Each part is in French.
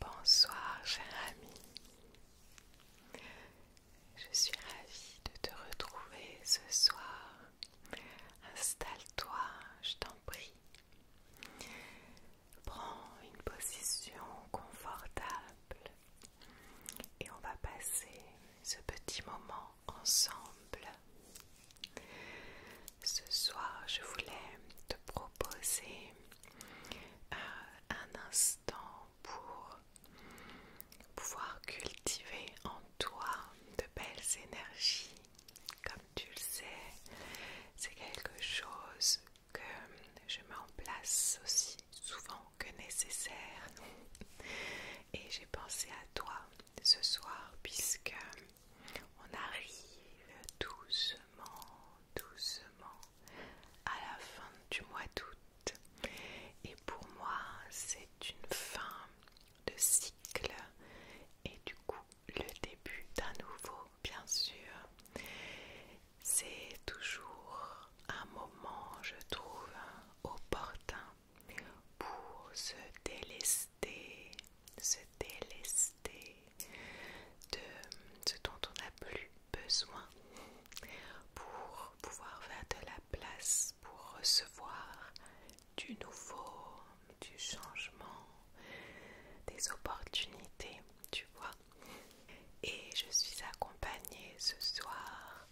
Bonsoir cher ami, je suis ravie de te retrouver ce soir. Installe-toi, je t'en prie. Prends une position confortable et on va passer ce petit moment ensemble. Ce soir, je voulais te proposer euh, un instant pour pouvoir cultiver en toi de belles énergies. Comme tu le sais, c'est quelque chose que je mets en place aussi souvent que nécessaire. Et j'ai pensé à toi ce soir puisque on arrive doucement, doucement à la fin du mois d'août. Et pour moi, c'est une fin de cycle et du coup le début d'un nouveau, bien sûr. C'est toujours un moment, je trouve, opportun pour se délester, se délester de ce dont on n'a plus besoin pour pouvoir faire de la place, pour recevoir du nouveau, du changement, des opportunités, tu vois. Et je suis accompagnée ce soir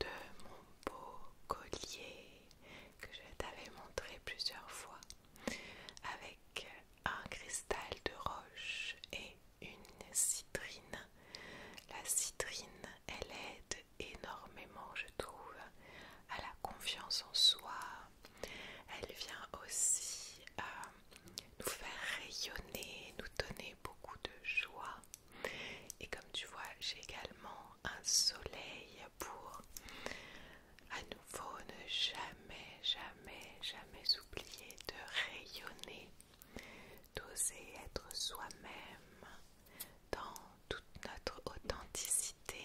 de mon beau collier que je t'avais montré plusieurs fois avec un cristal de roche et une citrine. La citrine, elle aide énormément, je trouve, à la confiance en soi. Elle vient aussi euh, nous faire rayonner, nous donner beaucoup de joie. Et comme tu vois, j'ai également un soleil pour à nouveau ne jamais, jamais, jamais oublier de rayonner, d'oser être soi-même dans toute notre authenticité.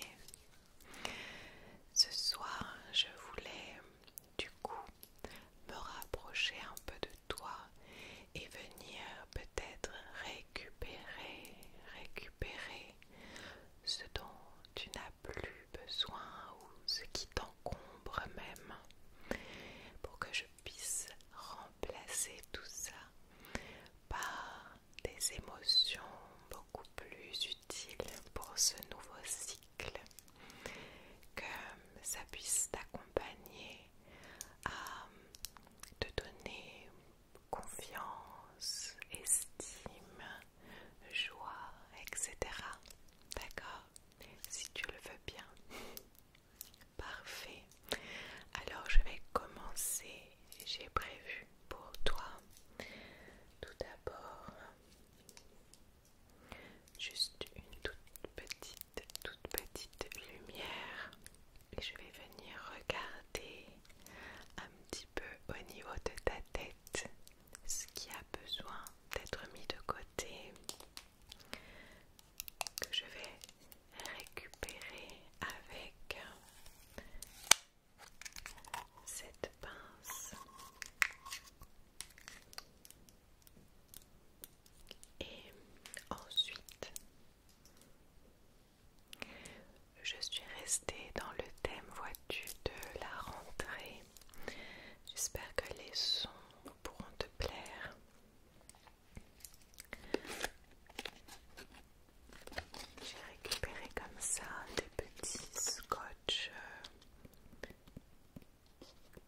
Ce soir, je voulais du coup me rapprocher un peu de toi et venir peut-être récupérer, récupérer ce dont tu n'as plus besoin ou ce qui t'encombre même pour que je puisse remplacer tout ça par des émotions beaucoup plus utiles pour ce nouveau cycle que ça puisse t'accompagner à euh, te donner confiance, estime, joie, etc. D'accord Si tu le veux bien. Parfait. Alors je vais commencer. J'ai prévu pour toi tout d'abord juste une toute petite toute petite lumière et je vais venir regarder un petit peu au niveau de ta tête ce qui a besoin d'être mis de côté que je vais récupérer avec cette pince et ensuite, je suis restée dans le thème vois de la rentrée. J'espère que les sons pourront te plaire. J'ai récupéré comme ça des petits scotch euh,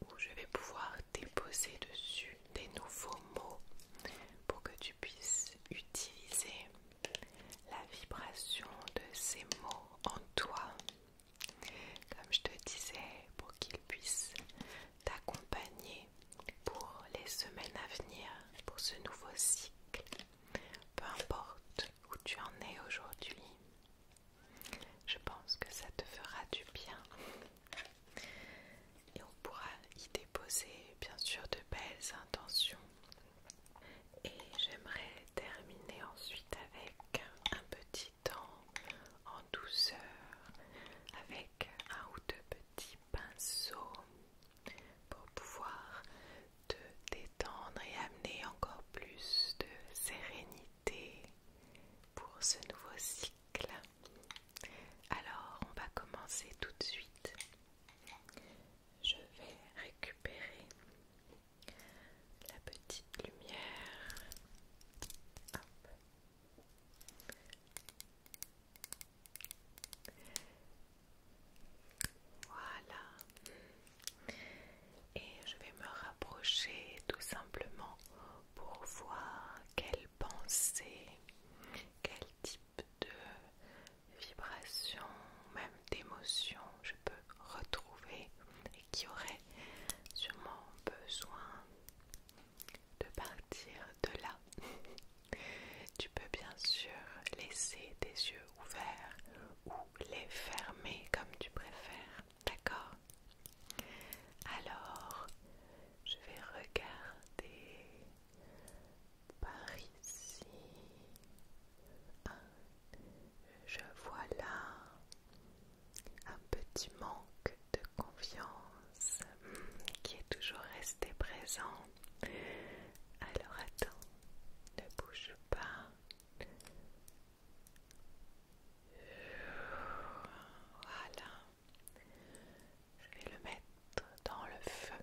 où je vais pouvoir déposer dessus des nouveaux mots pour que tu puisses utiliser la vibration de ces mots en toi, comme je te disais, pour qu'ils puissent t'accompagner pour les semaines à venir, pour ce nouveau cycle, peu importe où tu en es aujourd'hui. Je pense que ça te fera du bien. Et on pourra y déposer bien sûr de belles intentions. Et j'aimerais terminer ensuite avec un petit temps en douceur, avec un ou deux petits pinceaux pour pouvoir te détendre et amener encore plus de sérénité pour ce nouveau cycle. Alors, on va commencer tout de suite. Je vais récupérer la petite lumière. Voilà. Et je vais me rapprocher tout simplement pour voir quelle pensée, quel type de vibration, même d'émotions je peux retrouver et qui aurait sûrement besoin de partir de là. tu peux bien sûr laisser tes yeux ouverts ou les fermer comme tu préfères. D'accord Alors, je vais regarder par ici. je vois là un petit manque de confiance hmm, qui est toujours resté présent. Alors attends, ne bouge pas. Voilà. Je vais le mettre dans le feu.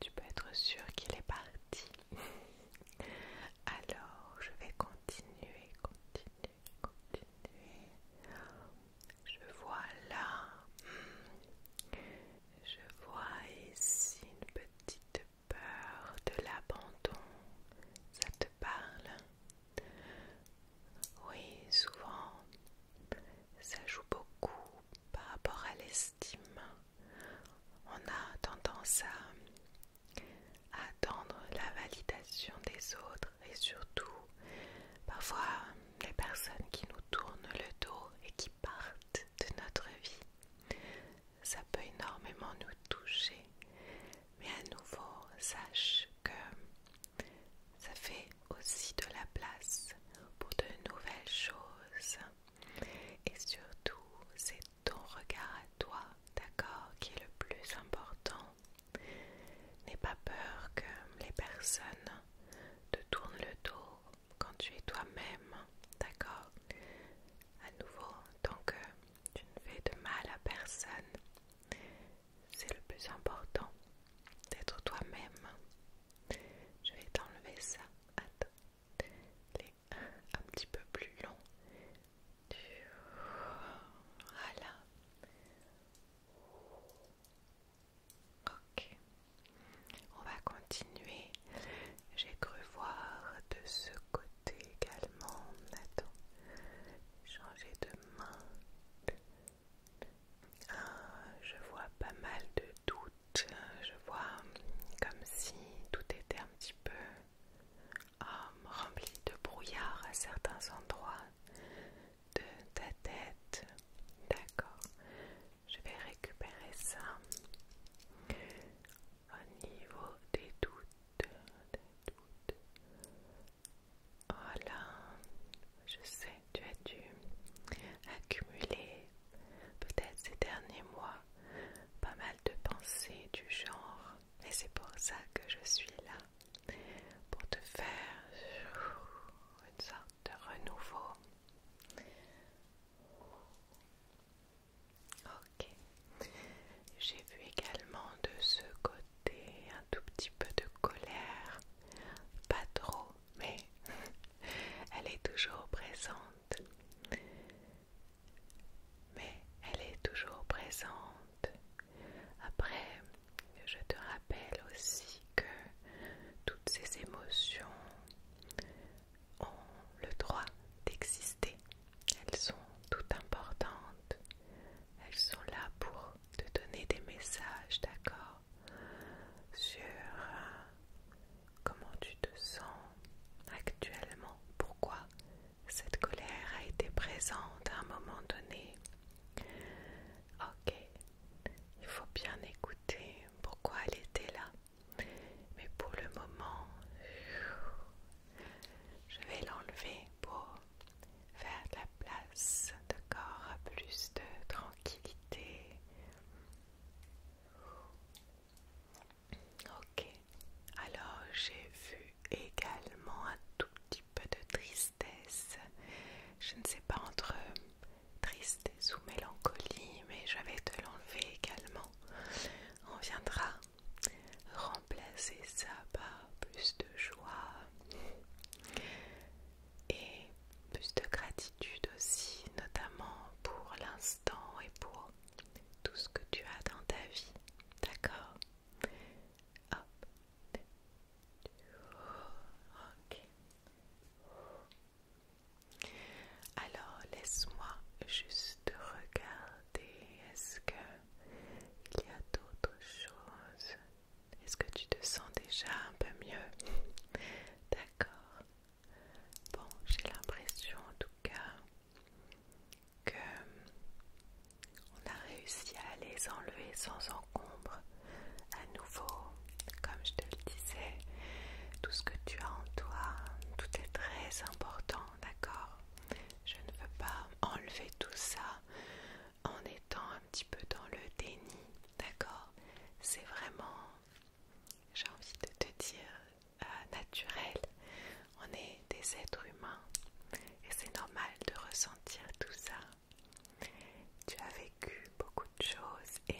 Tu peux être sûr qu'il est parti. Alors, je vais continuer, continuer, continuer. Je vois là. Hmm. Je vois ici une petite peur de l'abandon, ça te parle Oui, souvent, ça joue beaucoup par rapport à l'estime. On a tendance à attendre la validation des autres et surtout, parfois, les personnes qui nous tournent le dos et qui partent de notre vie ça peut énormément nous toucher. Mais à nouveau, sache que ça fait aussi de la place pour de nouvelles choses. Et surtout, c'est ton regard à toi, d'accord, qui est le plus important. N'aie pas peur que les personnes te tournent le dos quand tu es toi-même, d'accord à nouveau, tant que euh, tu ne fais de mal à personne, c'est le plus important d'être toi-même. Je vais t'enlever ça. Attends, les un petit peu plus long. Voilà. Ok. On va continuer. J'ai cru voir de ce côté également. Attends, changer de main. Ah, je vois pas mal de doutes. Je vois comme si tout était un petit peu ah, rempli de brouillard à certains endroits de ta tête. D'accord, je vais récupérer ça au niveau des doutes, des doutes. Voilà, je sais, tu as dû accumuler peut-être ces derniers mois pas mal de pensées du genre, et c'est pour ça que je suis là, pour te faire une sorte de renouveau. Ok. J'ai vu également de ce côté un tout petit peu de colère. Pas trop, mais elle est toujours présente. Mais elle est toujours présente. Après, je te rappelle aussi que toutes ces émotions ont le droit d'exister. Elles sont toutes importantes. Elles sont là pour te donner des messages, d'accord Sur euh, comment tu te sens actuellement, pourquoi cette colère a été présente à un moment donné. Ok, il faut bien écouter pourquoi elle était là. Mais pour le moment, je vais l'enlever pour faire de la place de corps à plus de tranquillité. Ok, alors j'ai vu également un tout petit peu de tristesse. Je ne sais pas entre tristesse des sous mélancolie, mais je vais te l'enlever également. On viendra remplacer ça par plus de joie et plus de gratitude aussi, notamment pour l'instant et pour tout ce que tu as dans ta vie. D'accord Hop. Ok. Alors laisse-moi juste regarder. Est-ce qu'il y a d'autres choses Est-ce que tu te sens déjà un peu mieux D'accord. Bon, j'ai l'impression en tout cas que on a réussi à les enlever sans encombre. À nouveau, comme je te le disais, tout ce que tu as en toi, tout est très important, d'accord Je ne veux pas enlever tout ça en étant un petit peu dans le déni, d'accord C'est vraiment, j'ai envie de te dire, euh, naturel. On est des êtres humains et c'est normal de ressentir tout ça. Tu as vécu beaucoup de choses et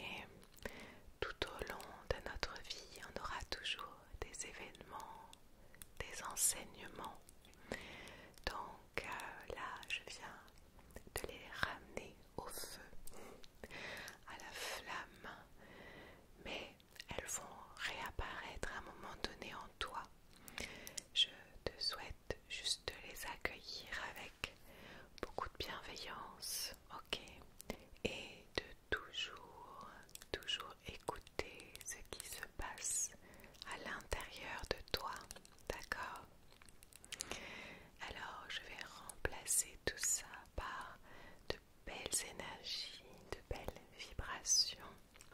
tout au long de notre vie, on aura toujours des événements, des enseignements. Donc euh, là, je viens de les ramener au feu, à la flamme, mais elles vont réapparaître à un moment donné en toi. Je te souhaite juste les accueillir avec beaucoup de bienveillance, ok Et de toujours, toujours écouter ce qui se passe à l'intérieur de toi, d'accord Alors, je vais remplacer tout ça par de belles énergies, de belles vibrations.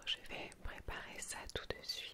Je vais préparer ça tout de suite.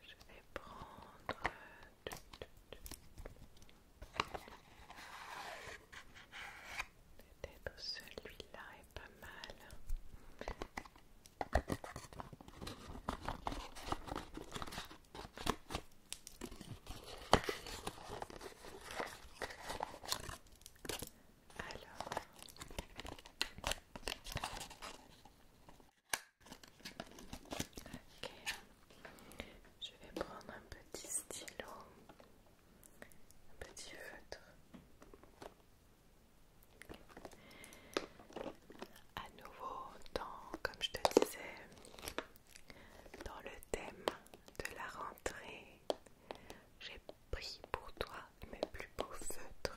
Je vais prendre euh, peut-être celui-là est pas mal. Alors, Ok, je vais prendre un petit stylo, un petit feutre. À nouveau, comme je te disais, dans le thème de la rentrée, j'ai pris pour toi mes plus beaux feutres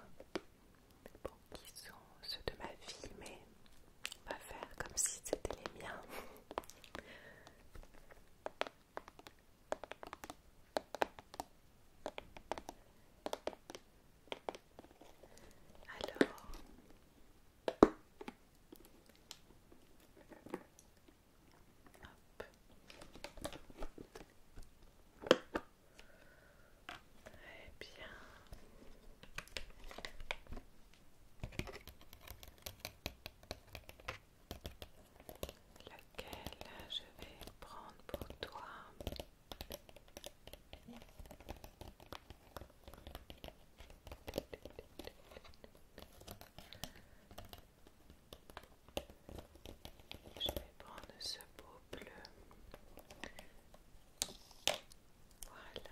bon, qui sont ceux de ma vie, mais on va faire comme si c'était les miens. Alors, eh bien. Laquelle je vais prendre pour toi Je vais prendre ce beau bleu voilà.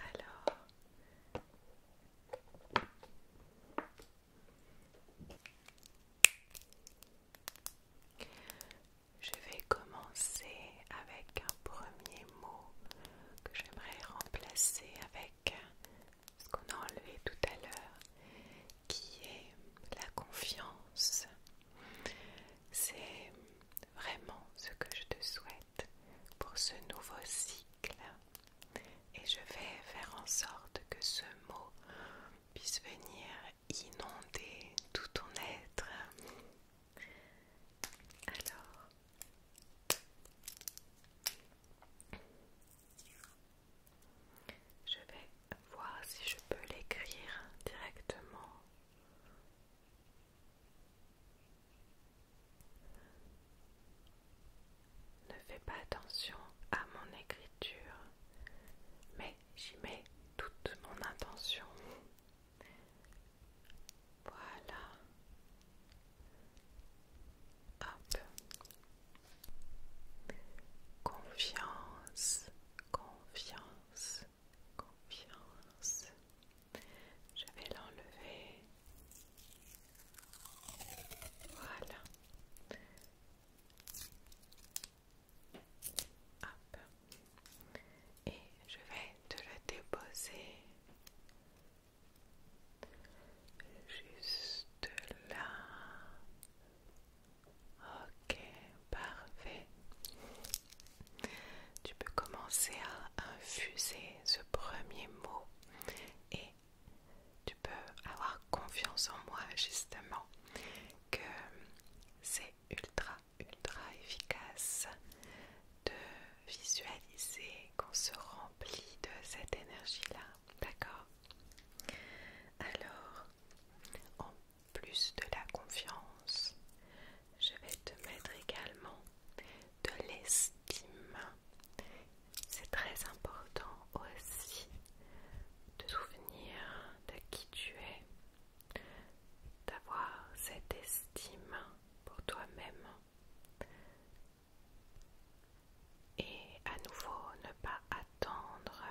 Alors, je vais commencer avec un premier mot que j'aimerais remplacer avec ce qu'on a enlevé tout à l'heure, qui est la confiance. C'est vraiment ce que je te souhaite pour ce nouveau cycle. Et je vais faire en sorte que ce mot puisse venir inonder tout ton être. Alors, je vais voir si je peux l'écrire directement. Ne fais pas attention à mon écriture, mais j'y mets toute mon intention. Voilà. Confiance, confiance, confiance. Je vais l'enlever. Voilà. Et je vais te le déposer Juste là. Ok, parfait. Tu peux commencer à infuser ce premier mot et tu peux avoir confiance en moi justement que c'est ultra, ultra efficace de visualiser qu'on se remplit de cette énergie-là d'accord Alors, en plus de la confiance, je vais te mettre également de l'estime. C'est très important aussi de souvenir de qui tu es, d'avoir cette estime pour toi-même, et à nouveau, ne pas attendre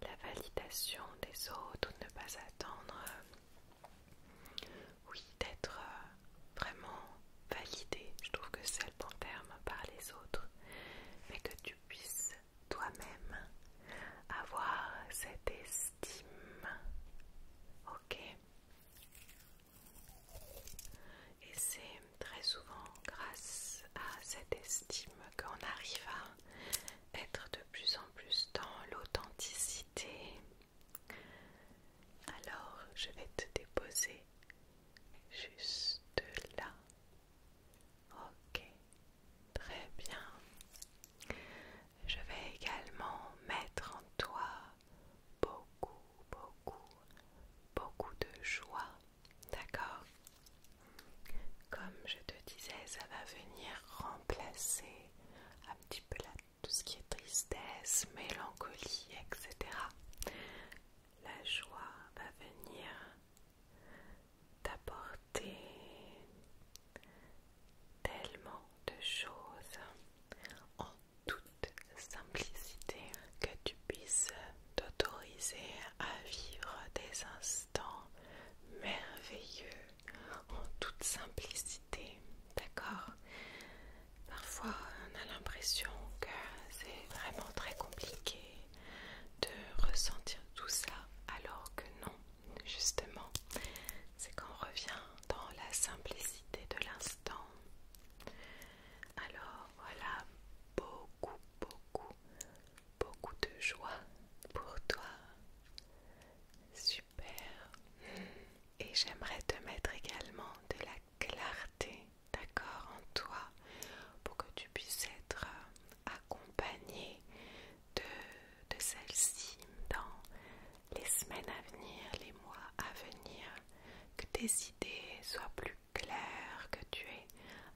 la validation des autres ou ne pas attendre, oui, d'être euh, vraiment validé. Je trouve que c'est le bon terme par les autres, mais que tu puisses toi-même avoir cette estime. Ok et c'est très souvent grâce à cette estime qu'on arrive à être de plus en plus dans l'authenticité. Alors, je vais te déposer juste là. Ok, très bien. Je vais également mettre en toi beaucoup, beaucoup, beaucoup de joie. D'accord Comme je te disais, ça va venir remplacer un petit peu tout ce qui est tristesse, mélancolie, etc. La joie va venir t'apporter tellement de choses en toute simplicité, que tu puisses t'autoriser à vivre des instants merveilleux en toute simplicité, d'accord Parfois on a l'impression que c'est vraiment très compliqué de ressentir tout ça alors que non, justement, c'est qu'on revient dans la simplicité de l'instant alors voilà, beaucoup, beaucoup, beaucoup de joie pour toi. Super. Et j'aimerais te mettre également de la clarté, d'accord, en toi, pour que tu puisses être euh, accompagné de, de celle-ci dans les semaines à venir, les mois à venir, que tes idées soient plus claires, que tu aies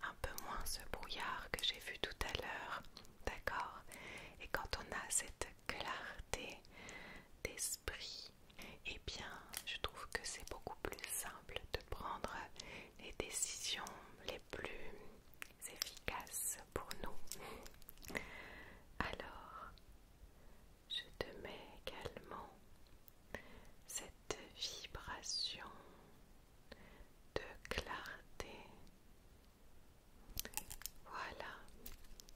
un peu moins ce brouillard que j'ai vu tout à l'heure, d'accord Et quand on a cette clarté d'esprit, eh bien, je trouve que c'est beaucoup plus simple de prendre les décisions les plus efficaces pour nous. Alors, je te mets également cette vibration de clarté. Voilà.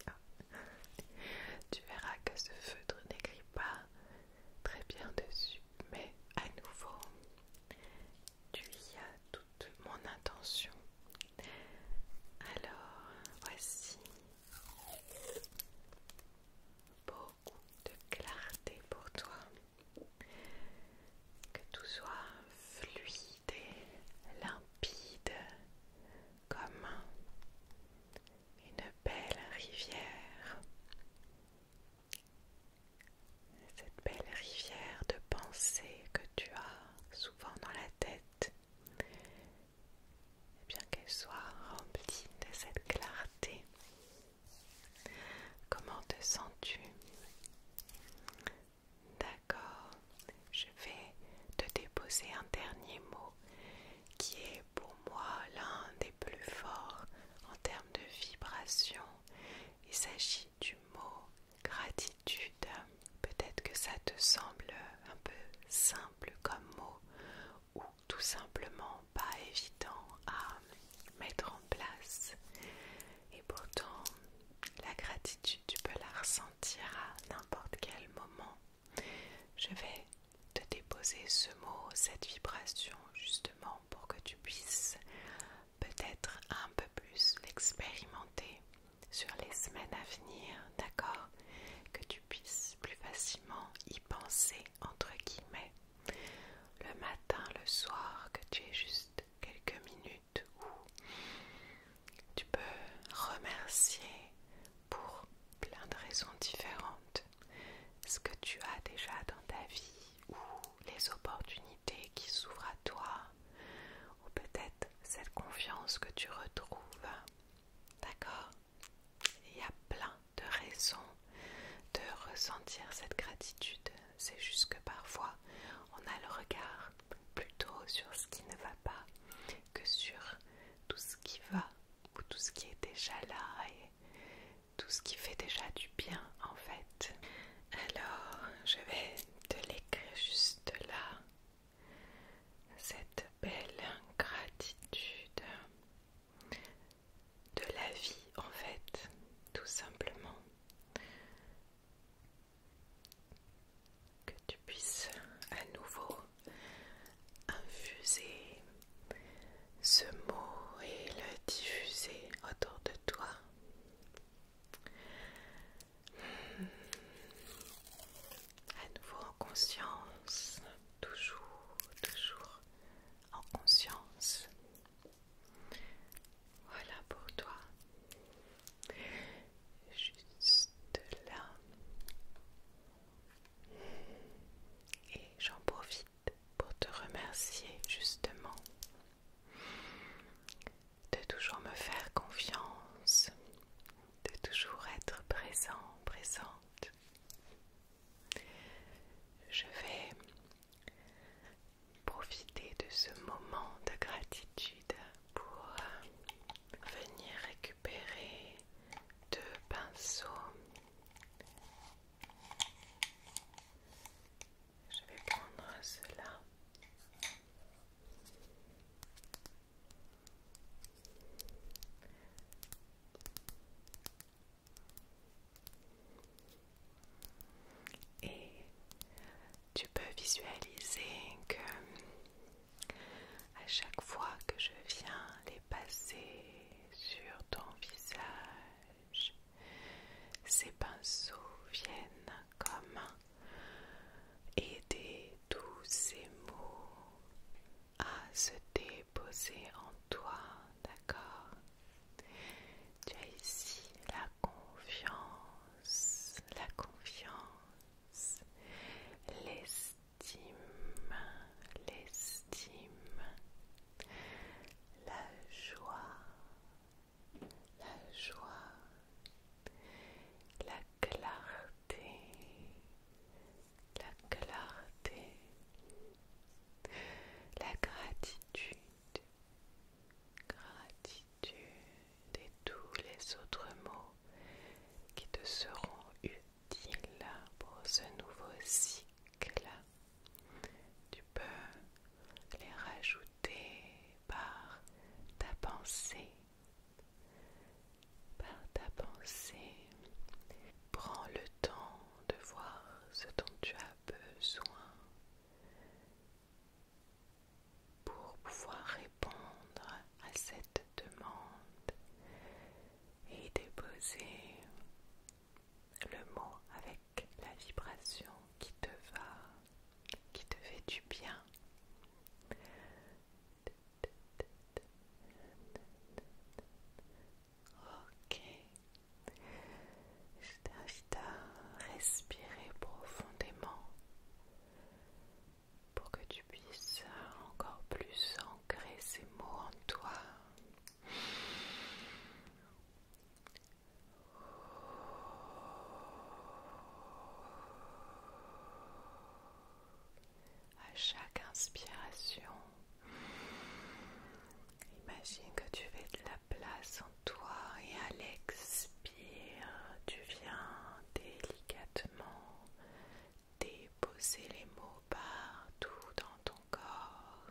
Ah. Tu verras que ce feutre n'écrit pas très bien dessus, mais à nouveau, tu y as toute mon intention. Alors, voici beaucoup de clarté pour toi, que tout soit fluide et limpide comme une belle rivière. Cette belle rivière de pensées que tu as souvent dans la tête et eh bien qu'elle soit remplie de cette clarté. Comment te sens-tu D'accord, je vais te déposer un dernier mot qui est pour moi l'un des plus forts en termes de vibration. Il s'agit du mot gratitude. Peut-être que ça te semble un peu simple comme mot ou tout simplement pas évident à mettre en place. Et pourtant, la gratitude, tu peux la ressentir à n'importe quel moment. Je vais te déposer ce mot, cette vibration, justement pour que tu puisses peut-être un peu plus l'expérimenter sur les semaines à venir, d'accord Que tu puisses plus facilement y penser, entre guillemets, le matin, le soir, que tu aies juste quelques minutes où tu peux remercier pour plein de raisons différentes ce que tu as déjà dans ta vie ou les opportunités qui s'ouvrent à toi ou peut-être cette confiance que tu retrouves. D'accord Il y a plein de raisons de ressentir cette gratitude. C'est juste que parfois on a le regard plutôt sur ce qui ne va pas que sur tout ce qui va ou tout ce qui est déjà là et tout ce qui fait déjà du bien en fait. Alors je vais te l'écrire juste là cette belle gratitude de la vie en fait, tout simplement. Que tu puisses à nouveau infuser ce mot et le diffuser autour de toi. À nouveau en conscience, toujours, toujours en conscience. Voilà pour toi. Juste là. Et j'en profite pour te remercier justement de toujours me faire confiance, de toujours être présent, présente. Je vais profiter de ce moment de gratitude pour euh, venir récupérer deux pinceaux. Je vais prendre cela. Et tu peux visualiser que à chaque fois que je viens les passer sur ton visage, ces pinceaux viennent comme aider tous ces mots à se déposer en toi, d'accord Tu as ici la confiance, la confiance, l'estime, l'estime, la joie, la joie, la clarté, la clarté, la gratitude, gratitude et tous les autres mots qui te seront utiles pour ce nouveau cycle. Tu peux les rajouter par ta pensée. Par ta pensée, prends le temps de voir ce dont tu as besoin pour pouvoir répondre à cette demande et déposer le mot avec la vibration qui te va qui te fait du bien. Ok. Je t'invite à respirer profondément pour que tu puisses encore plus ancrer ces mots en toi. À chaque inspiration, imagine que tu fais de la place en toi et à l'expire, tu viens délicatement déposer les mots partout dans ton corps.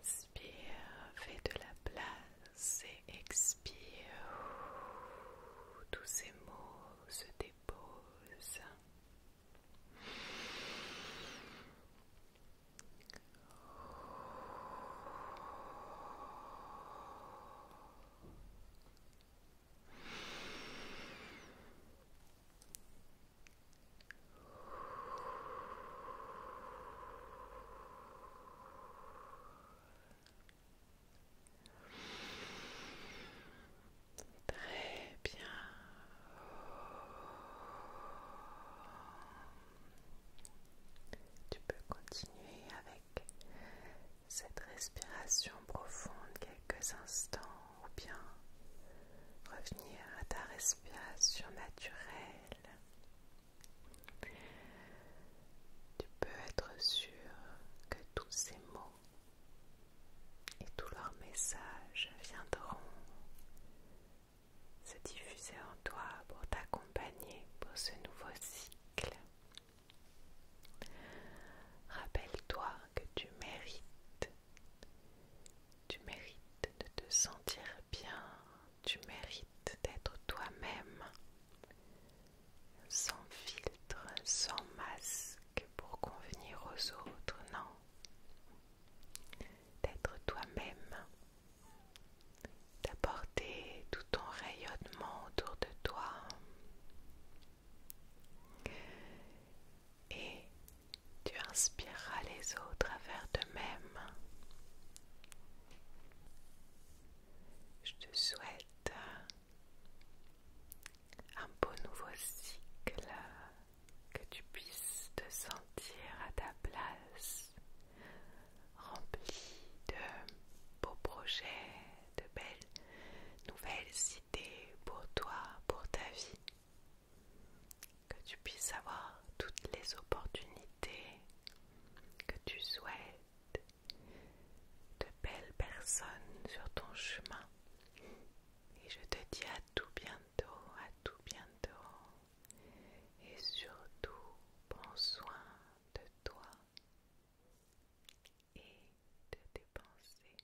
Inspire, fais de la place c'est expire. Tous ces mots se déposent. Très bien. Tu peux continuer avec cette respiration profonde quelques instants ou bien revenir à ta respiration naturelle. Tu peux être sûr que tous ces mots et tous leurs messages viendront se diffuser en toi pour t'accompagner pour ce nouveau cycle. Rappelle-toi que tu mérites, tu mérites de te sentir bien, tu mérites d'être toi-même, sans filtre, sans masque pour convenir aux autres, non. D'être toi-même, d'apporter tout ton rayonnement autour de toi. Et tu inspireras les autres à faire de même. Je te souhaite un beau nouveau cycle, que tu puisses te sentir à ta place, rempli de beaux projets, de belles nouvelles idées pour toi, pour ta vie, que tu puisses avoir toutes les opportunités que tu souhaites, de belles personnes sur ton chemin. Et je te dis à tout bientôt, à tout bientôt. Et surtout, prends soin de toi et de tes pensées.